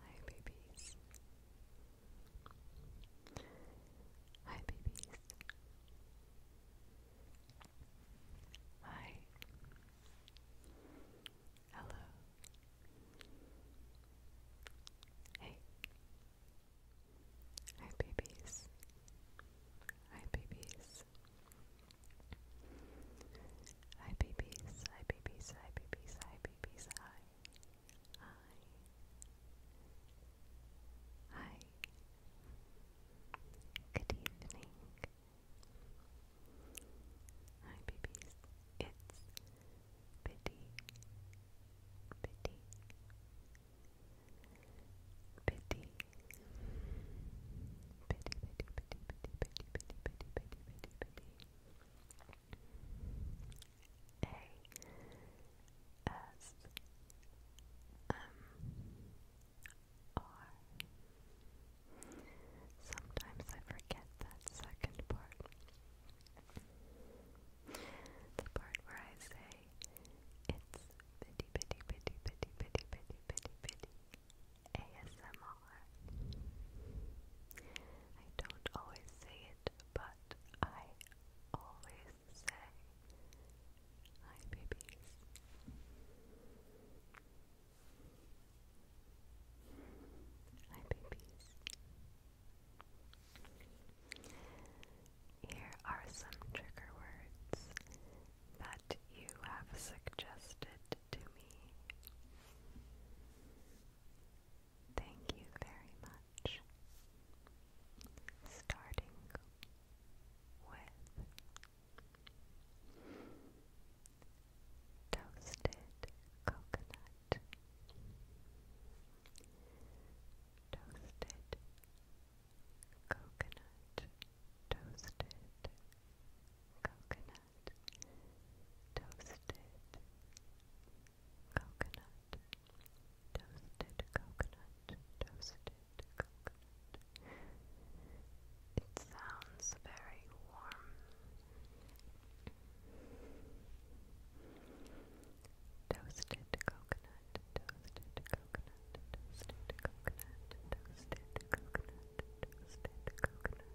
Hi, babies. Hi, babies. Hi. Hello. Hey. Hi, babies. Hi, babies. Hi, babies. Hi, babies. Hi, babies. Hi, Hi. Hi. Good evening. Hi, babies. It's Biddy. Biddy. Biddy. Biddy, biddy, biddy, biddy, biddy, biddy, biddy, a S M R. Sometimes I forget that second part. The part where I say it's bitty bitty bitty bitty bitty bitty bitty bitty ASMR. I don't always say it, but I always say hi, babies. Hi, babies. Here are some trigger words that you have suggested to me. Thank you very much. Starting with toasted coconut, toasted coconut, toasted coconut coconut, toasted coconut, toasted coconut, toasted coconut. It sounds very warm. Toasted coconut, toasted coconut, toasted coconut, toasted coconut, toasted coconut,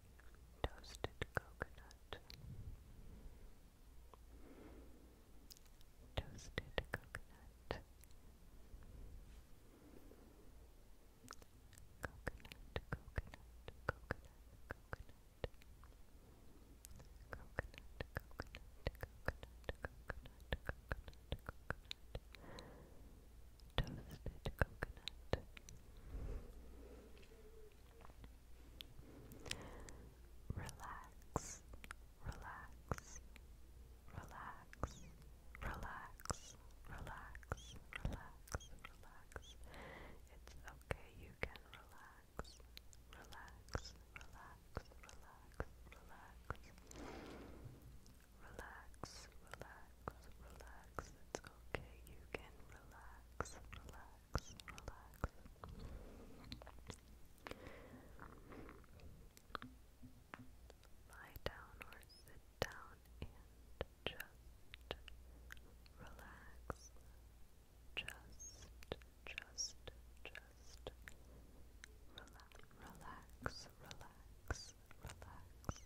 toasted coconut, toasted coconut, coconut, coconut, coconut, coconut. Coconut, coconut, coconut, coconut, coconut, coconut, coconut, toasted coconut. Relax, relax, relax, relax, relax, relax, relax. It's okay, you can relax, relax, relax, relax, relax. Relax, relax, relax. It's okay. You can relax, relax, relax. Lie down or sit down and just relax. Just, just, just relax, relax, relax, relax.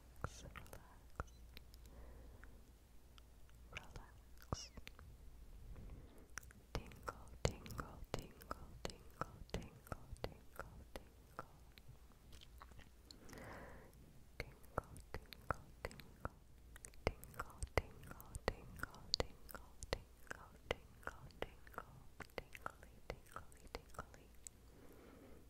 relax, relax. Tingle, tingle, tingle, tingle, tingle, tingle, tingle. Tingle, tingle, tingle. Tingle, tingle, tingle, tingle, tingle, tingle, tingle, tingly, tingly, tingly.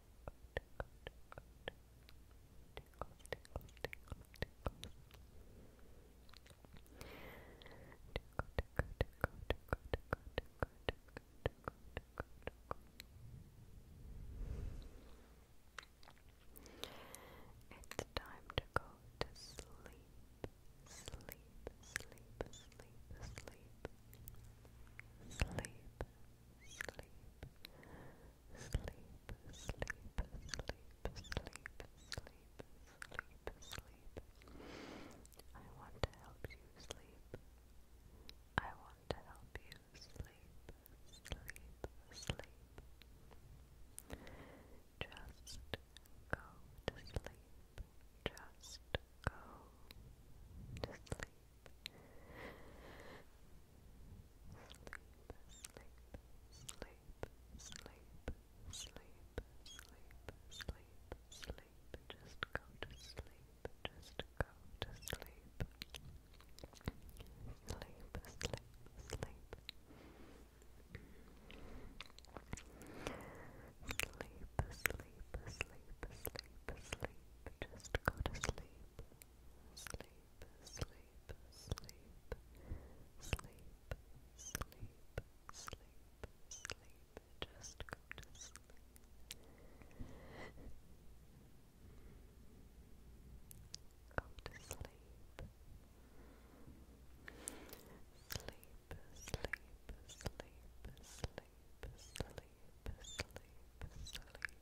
It's time to go to sleep, sleep, sleep, sleep, sleep, sleep, sleep, sleep, sleep, sleep, sleep, sleep, sleep. I want to help you sleep. I want to help you sleep, sleep, sleep. Just go to sleep. Just go to sleep sleep, just go to sleep, just go to sleep. Sleep, sleep, sleep. Sleep, sleep, sleep, sleep, sleep. Just go to sleep. Sleep sleep, sleep, sleep, sleep, sleep, sleep. Just go to sleep. Go to sleep. Sleep, sleep, sleep, sleep, sleep, sleep, sleep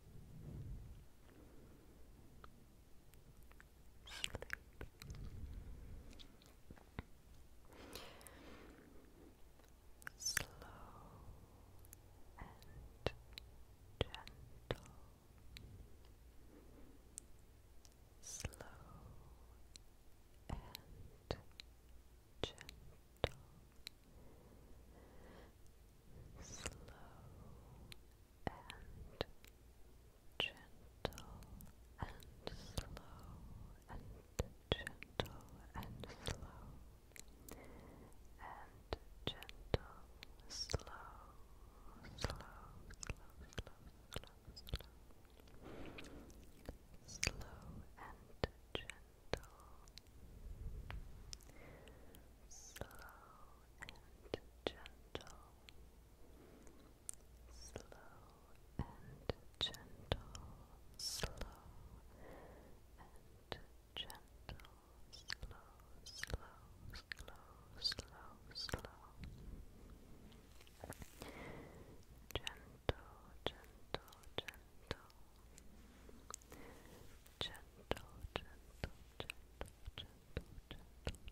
Slow and gentle. Slow and gentle gentle and slow and gentle and slow and gentle, slow, slow, slow, slow, slow, slow, slow and gentle slow and gentle, slow and gentle, slow and gentle, slow, slow, slow, slow, slow, gentle, gentle, gentle. Gentle, gentle, gentle, gentle, gentle, gentle,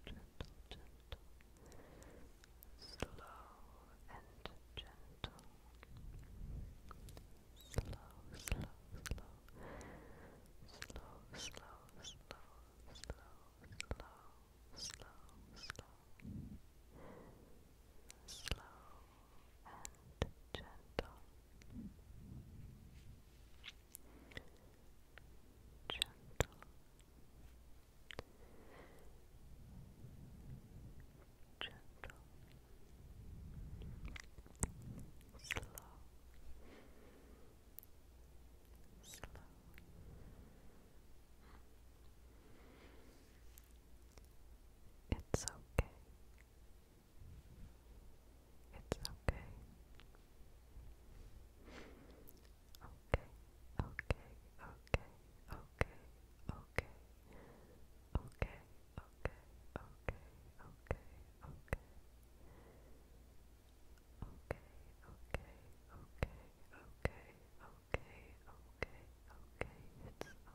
gentle, gentle, slow and gentle, slow, slow, slow, slow, slow, slow, slow, slow, slow, slow, slow, and gentle. Gentle. Gentle. Slow. Slow. It's okay. It's okay. Okay, okay, okay, okay, okay, okay, okay, okay, okay, okay. Okay, okay, okay, okay, okay,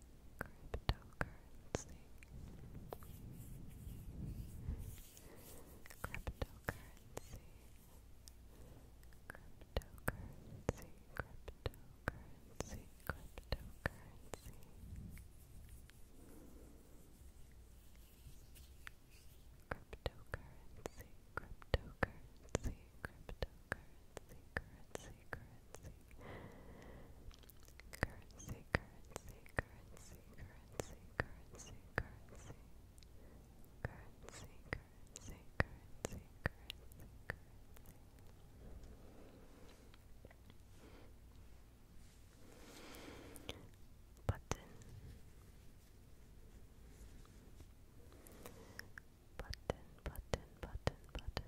Cryptocurrency. Cryptocurrency. Cryptocurrency. Cryptocurrency. Cryptocurrency. Cryptocurrency. Cryptocurrency. Cryptocurrency. Currency currency, currency, currency, currency, currency, currency, currency, currency, currency, currency, currency, button, button, button, button, button,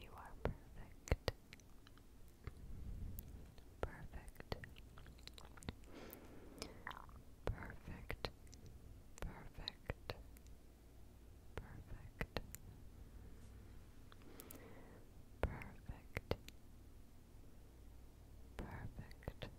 You are perfect. Perfect. Perfect. Perfect. Perfect. Perfect. Perfect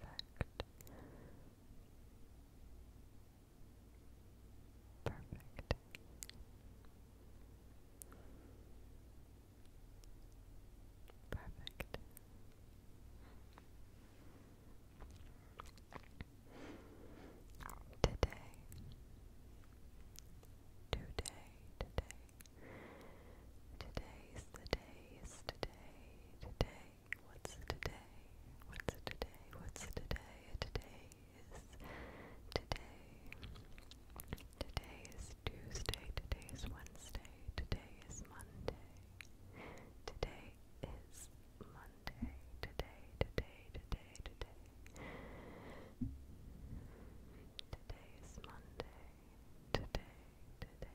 Perfect. Perfect. Perfect. Today, today, today, Today's the day is today, today. What's today? What's today? What's today? Today is today. Today is Tuesday. Today is Wednesday. Today is Monday. Today is Monday. Today, today, today, today. Today is Monday. Today, today,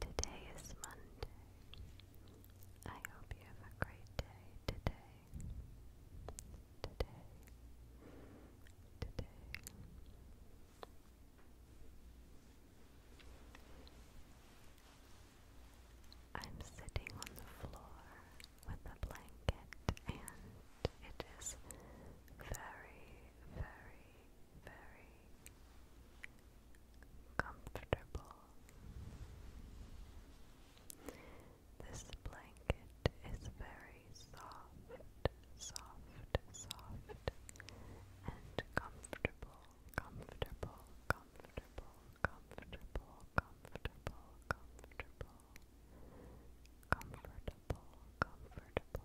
Today is Monday. I hope you have a great day today. Today. Today. I'm sitting on the floor with a blanket and it is very, very very comfortable. This blanket is very soft, soft, soft, and comfortable, comfortable, comfortable, comfortable, comfortable, comfortable, comfortable, comfortable,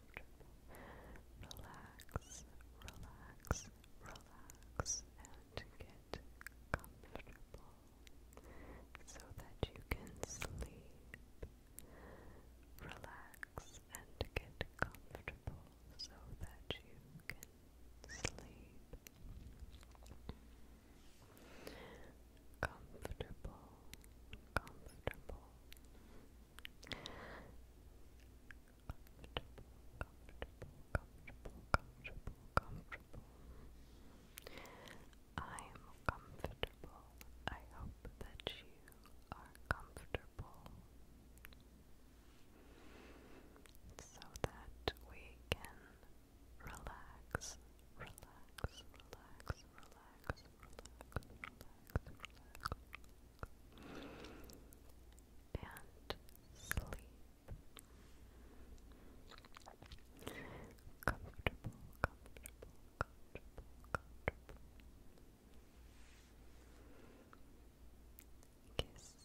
Relax, relax, relax, and get comfortable so that you can sleep. Relax and get comfortable so that you can sleep comfortable, comfortable, comfortable, comfortable, comfortable, comfortable. I'm comfortable. I hope that you are comfortable so that we can relax, relax, relax, relax, and sleep. Comfortable, comfortable, comfortable, comfortable. Kiss.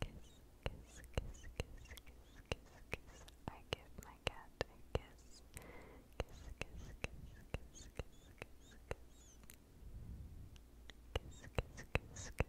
Kiss, kiss, kiss, kiss, kiss, kiss, kiss, kiss, kiss. I give my cat a kiss. Kiss, kiss, kiss, kiss, kiss, kiss, kiss. Kiss, kiss, kiss, kiss. Kiss, kiss, kiss, kiss. Kiss, kiss, kiss,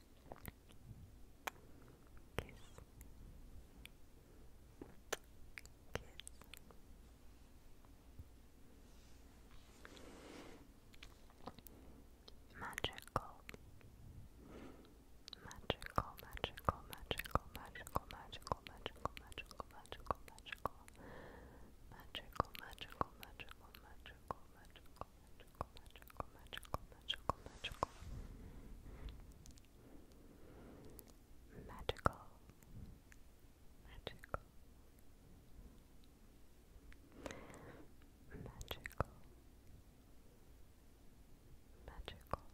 Kiss. Kiss. magical, magical, magical, magical, magical, magical, magical, magical, magical, magical, magical, magical, magical, magical, magical magical, magical, magical, magical, magical. Magical. Magical. Magical. Magical. Magical.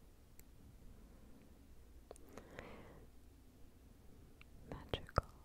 Magical.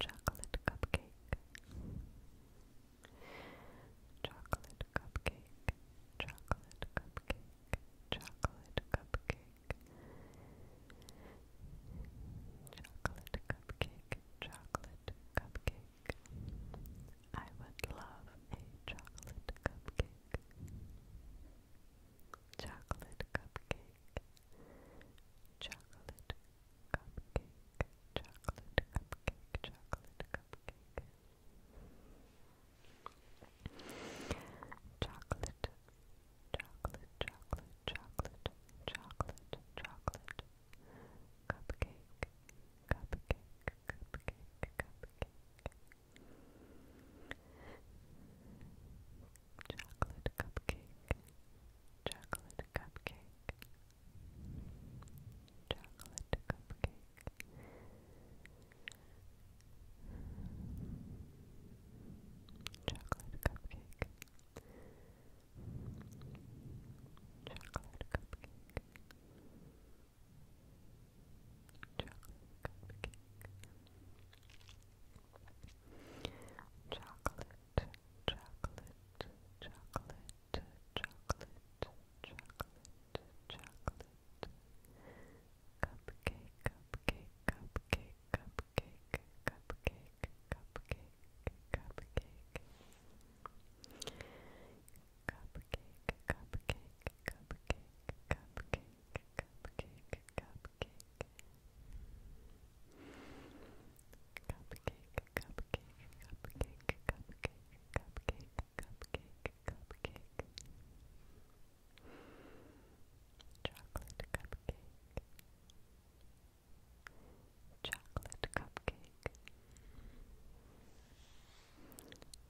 Chocolate cupcake. Chocolate cupcake. Chocolate cupcake. Chocolate cupcake. Chocolate cupcake. Chocolate cupcake. I would love a chocolate cupcake. Chocolate cupcake. Chocolate cupcake, chocolate, cupcake, chocolate, cupcake. Chocolate, chocolate, chocolate, chocolate, chocolate, chocolate. Cupcake, cupcake, cupcake, cupcake chocolate cupcake, chocolate cupcake, chocolate cupcake. Chocolate cupcake. Chocolate cupcake. Chocolate chocolate, chocolate, chocolate, chocolate, chocolate, cupcake, cupcake, cupcake, cupcake, cupcake, cupcake, cupcake. Cupcake, cupcake, cupcake, cupcake, cupcake, cupcake. Cupcake, cupcake, cupcake, cupcake, cupcake, cupcake, cupcake. Chocolate cupcake. Chocolate cupcake. Chocolate cupcake,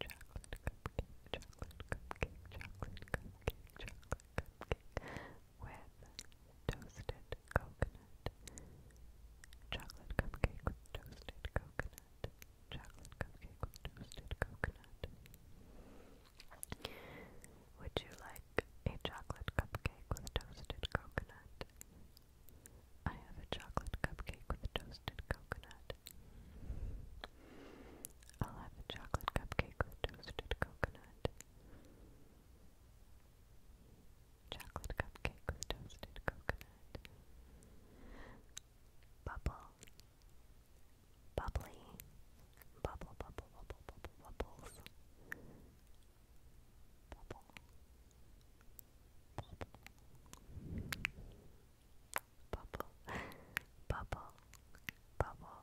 chocolate cupcake, chocolate cupcake, chocolate cupcake with toasted coconut, chocolate cupcake with toasted coconut, chocolate cupcake with toasted coconut. Would you like a chocolate cupcake with toasted coconut? I have a chocolate cupcake with toasted coconut. I'll have a chocolate cupcake with toasted coconut. Chocolate cupcake with toasted coconut. Bubble. Bubbly. Bubble, bubble, bubble, bubble, bubbles. Bubble. Bubble. Bubble. Bubble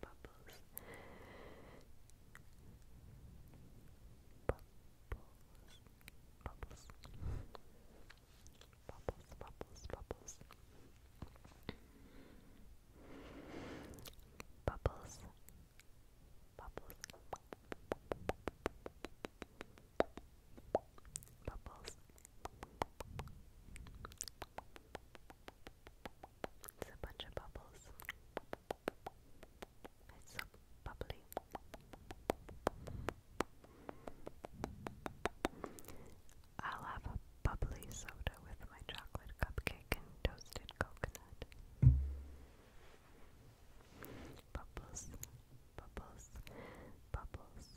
bubbles. Bubbles. Bubbles. Bubbles, bubbles, bubbles. Bubbles. Bubbles. Bubbles. It's a bunch of bubbles. It's so bubbly. I'll have a bubbly soda with my chocolate cupcake and toasted coconut. Bubbles, bubbles, bubbles.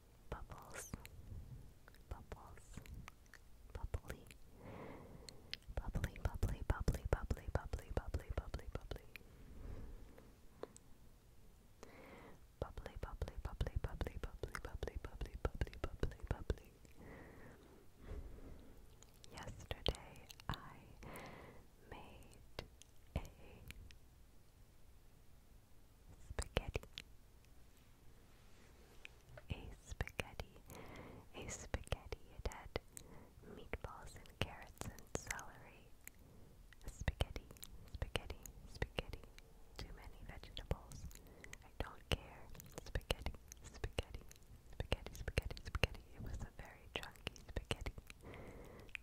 bubbles, bubbles, bubbly, bubbly, bubbly, bubbly, bubbly, bubbly, bubbly, bubbly, bubbly, bubbly, bubbly, bubbly, bubbly, bubbly, bubbly, bubbly, Yesterday I made a spaghetti. A spaghetti. A spaghetti. It had meatballs and carrots and celery. spaghetti. Spaghetti. Spaghetti. Too many vegetables. I don't care. Spaghetti. Spaghetti. Spaghetti. Spaghetti. Spaghetti. It was a very chunky spaghetti.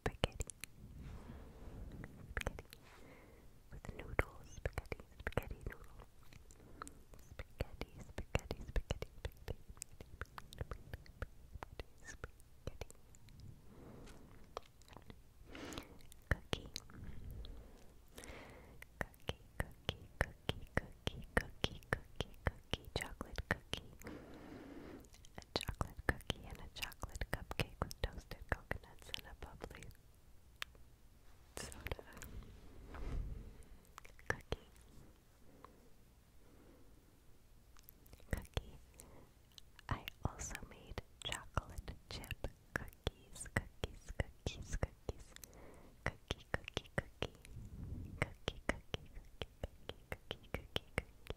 spaghetti, spaghetti with noodles, spaghetti, spaghetti noodles, spaghetti, spaghetti, spaghetti, spaghetti, spaghetti, spaghetti, cookie, cookie, cookie, cookie, cookie, cookie, cookie, cookie, chocolate cookie a chocolate cookie, and a chocolate cupcake with toasted coconuts and a bubbly soda cookie. Cookie. I also made chocolate chip cookies, cookies, cookies, cookies, cookie, cookie, cookie, cookie, cookie, cookie, cookie, cookie, cookie,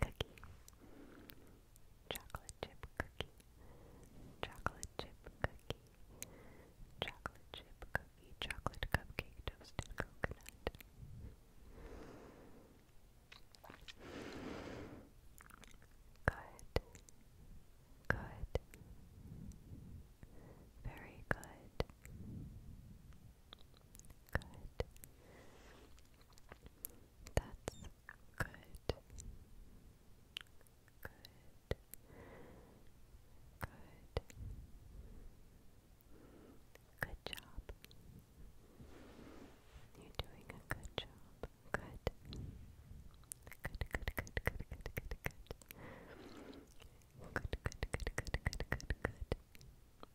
Cookie. Chocolate chip cookie. Chocolate chip cookie. Chocolate chip cookie. Chocolate cupcake toasted coconut. Good. Good. Very good. Good. That's good. Good. Good. Good job. You're doing a good job. Good. Good, good, good, good, good, good, good. Good, good, good, good, good,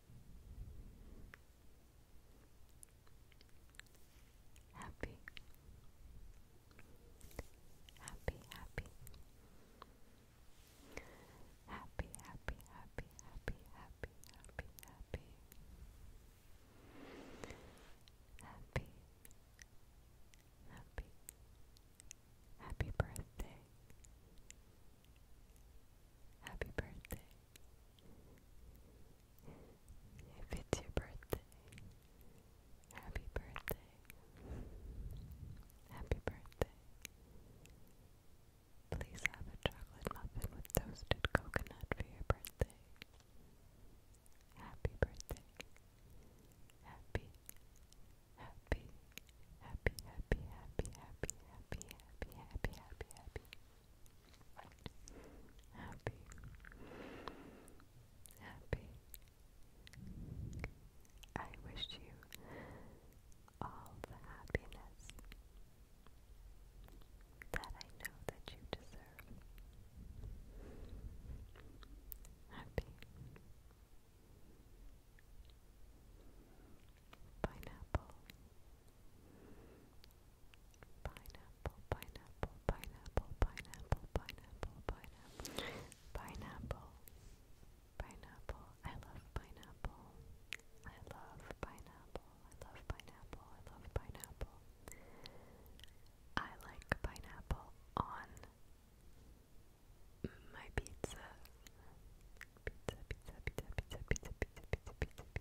happy, happy, happy, happy, happy, happy, happy, happy, happy, happy, happy, happy, happy birthday. Happy birthday. If it's your birthday, happy birthday. Happy birthday. Please have a chocolate muffin with toasted coconut for your birthday. Happy birthday. Happy, happy, happy, happy, happy, happy, happy, happy, happy, happy, happy happy, happy. I wish you all the happiness that I know that you deserve. Happy. Pineapple pineapple, pineapple, pineapple, pineapple, pineapple, pineapple, pineapple, pineapple. I love pineapple. I love pineapple. I love pineapple. I love pineapple. I like pineapple on my pizza. Pizza, pizza, pizza, pizza, pizza, pizza, pizza, pizza,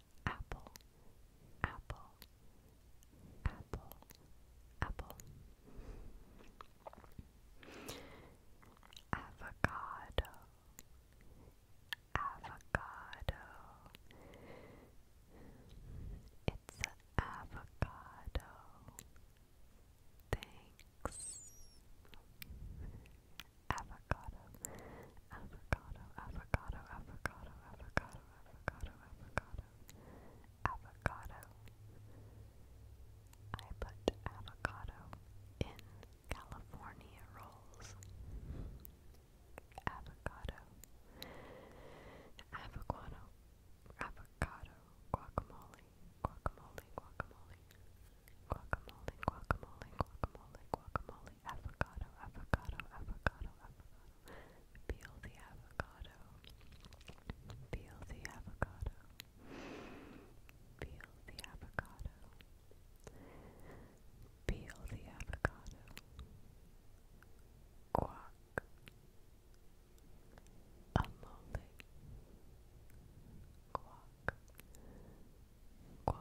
apple, apple, apple, apple. Avocado, avocado. It's an avocado. Thanks. Avocado, avocado, avocado, avocado, avocado, avocado, avocado, avocado. I put avocado in California rolls. Avocado, avocado, avocado, guacamole, guacamole, guacamole, guacamole, guacamole, guacamole, guacamole, avocado, avocado, avocado, avocado, Peel the avocado. Peel the avocado. Peel the avocado. Peel the avocado. Quack. A Quack. Quack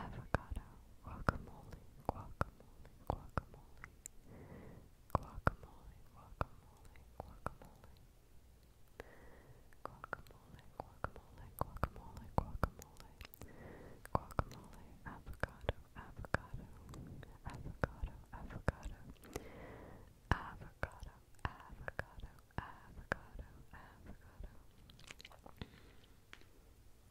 avocado, guacamole, guacamole, guacamole, guacamole, guacamole, guacamole, guacamole, guacamole, guacamole, guacamole, guacamole, avocado, avocado, avocado, avocado, avocado, avocado, avocado, avocado.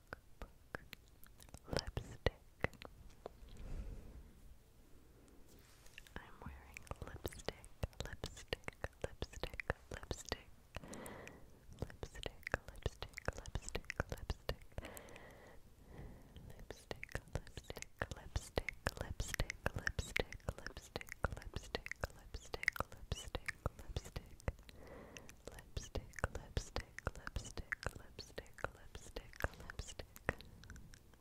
Lipstick. I'm wearing lipstick, lipstick, lipstick, lipstick, lipstick, lipstick, lipstick, lipstick, lipstick, lipstick, lipstick, lipstick, lipstick, lipstick, lipstick, lipstick, lipstick, lipstick, lipstick. Lipstick, lipstick, lipstick, lipstick, lipstick, lipstick.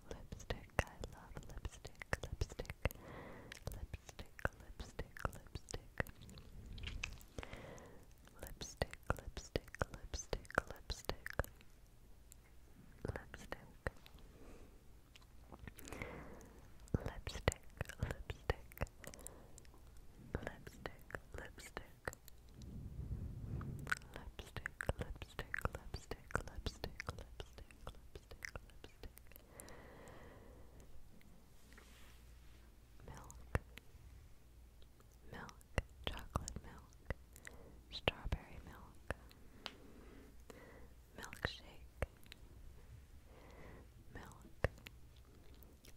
Lipstick, I love lipstick, lipstick, lipstick, lipstick. Lipstick, lipstick, lipstick, lipstick. Lipstick. Lipstick, lipstick, lipstick, lipstick, lipstick, lipstick, lipstick, lipstick, lipstick, lipstick, lipstick, milk, milk, chocolate milk, strawberry milk, milkshake, milk.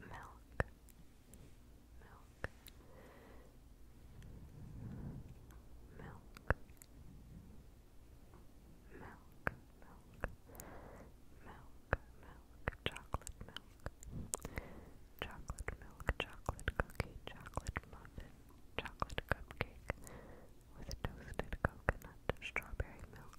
Milk. Milk. Milk. Milk, milk, milk, milk, chocolate milk, chocolate milk, chocolate cookie, chocolate muffin, chocolate cupcake with toasted coconut, strawberry milk,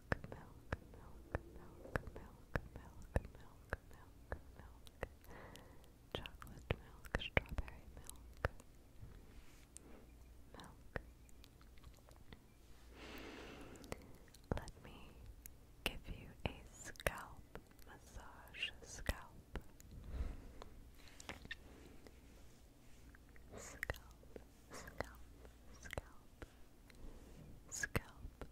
milk, milk, milk, milk, milk, milk, milk, milk, milk, chocolate milk, strawberry milk, milk. Let me give you a scalp massage, scalp, scalp, scalp scalp,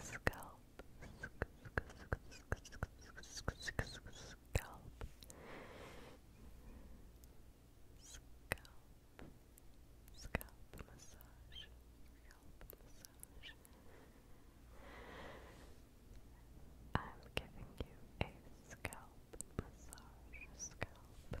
scalp, scalp, scalp. Scalp, scalp massage, scalp massage. I'm giving you a scalp massage, scalp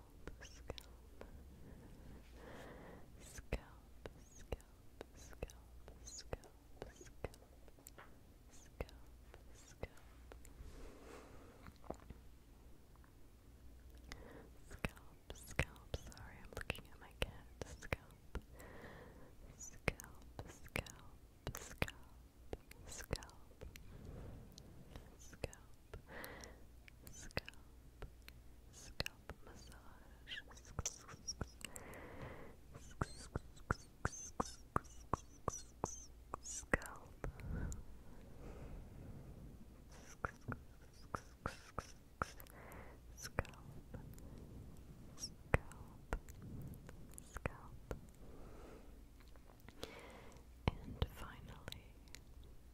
scalp, scalp, scalp, scalp, scalp, scalp, scalp, scalp. Scalp, scalp, sorry, I'm looking at my cat. Scalp, scalp, scalp, scalp, scalp, scalp, scalp, scalp massage. Scalp. Scalp. Scalp. And finally,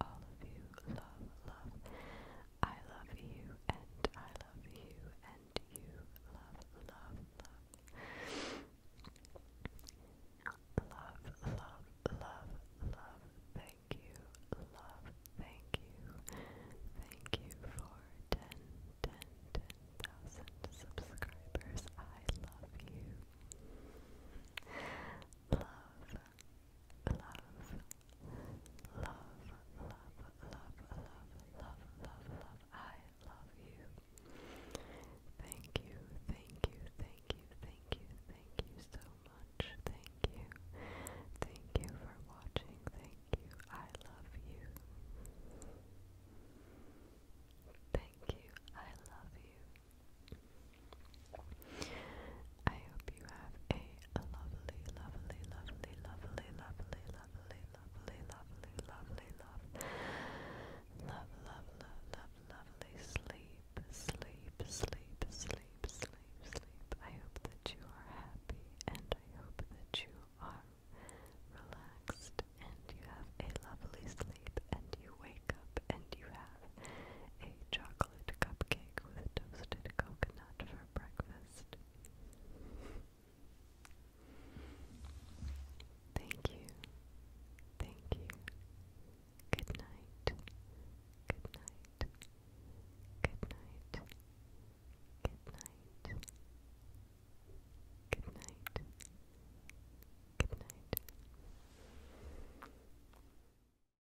all of you. Love, love. I love you and I love you and you. Love, love, love. Love, love, love, love. Thank you. Love, thank you. Thank you for 10, subscribers. I love you. Love, love, love, love, love, love, love, love, love. I love you. Thank you, thank you, thank you, thank you, thank you so much. Thank you. Thank you for watching. Thank you. I love you. Thank you. I love you. I hope you have a lovely, lovely, lovely, lovely, lovely, lovely, lovely, lovely, lovely, love, love, love, love, love, lovely sleep, sleep, sleep, sleep, sleep, sleep. I hope that you are happy, and I hope that you are relaxed, and you have a lovely sleep, and you wake up, and you have a chocolate chocolate cupcake with toasted coconut for breakfast. Thank you. Thank you. Good night. Good night. Good night. Good night. Good night. Good night.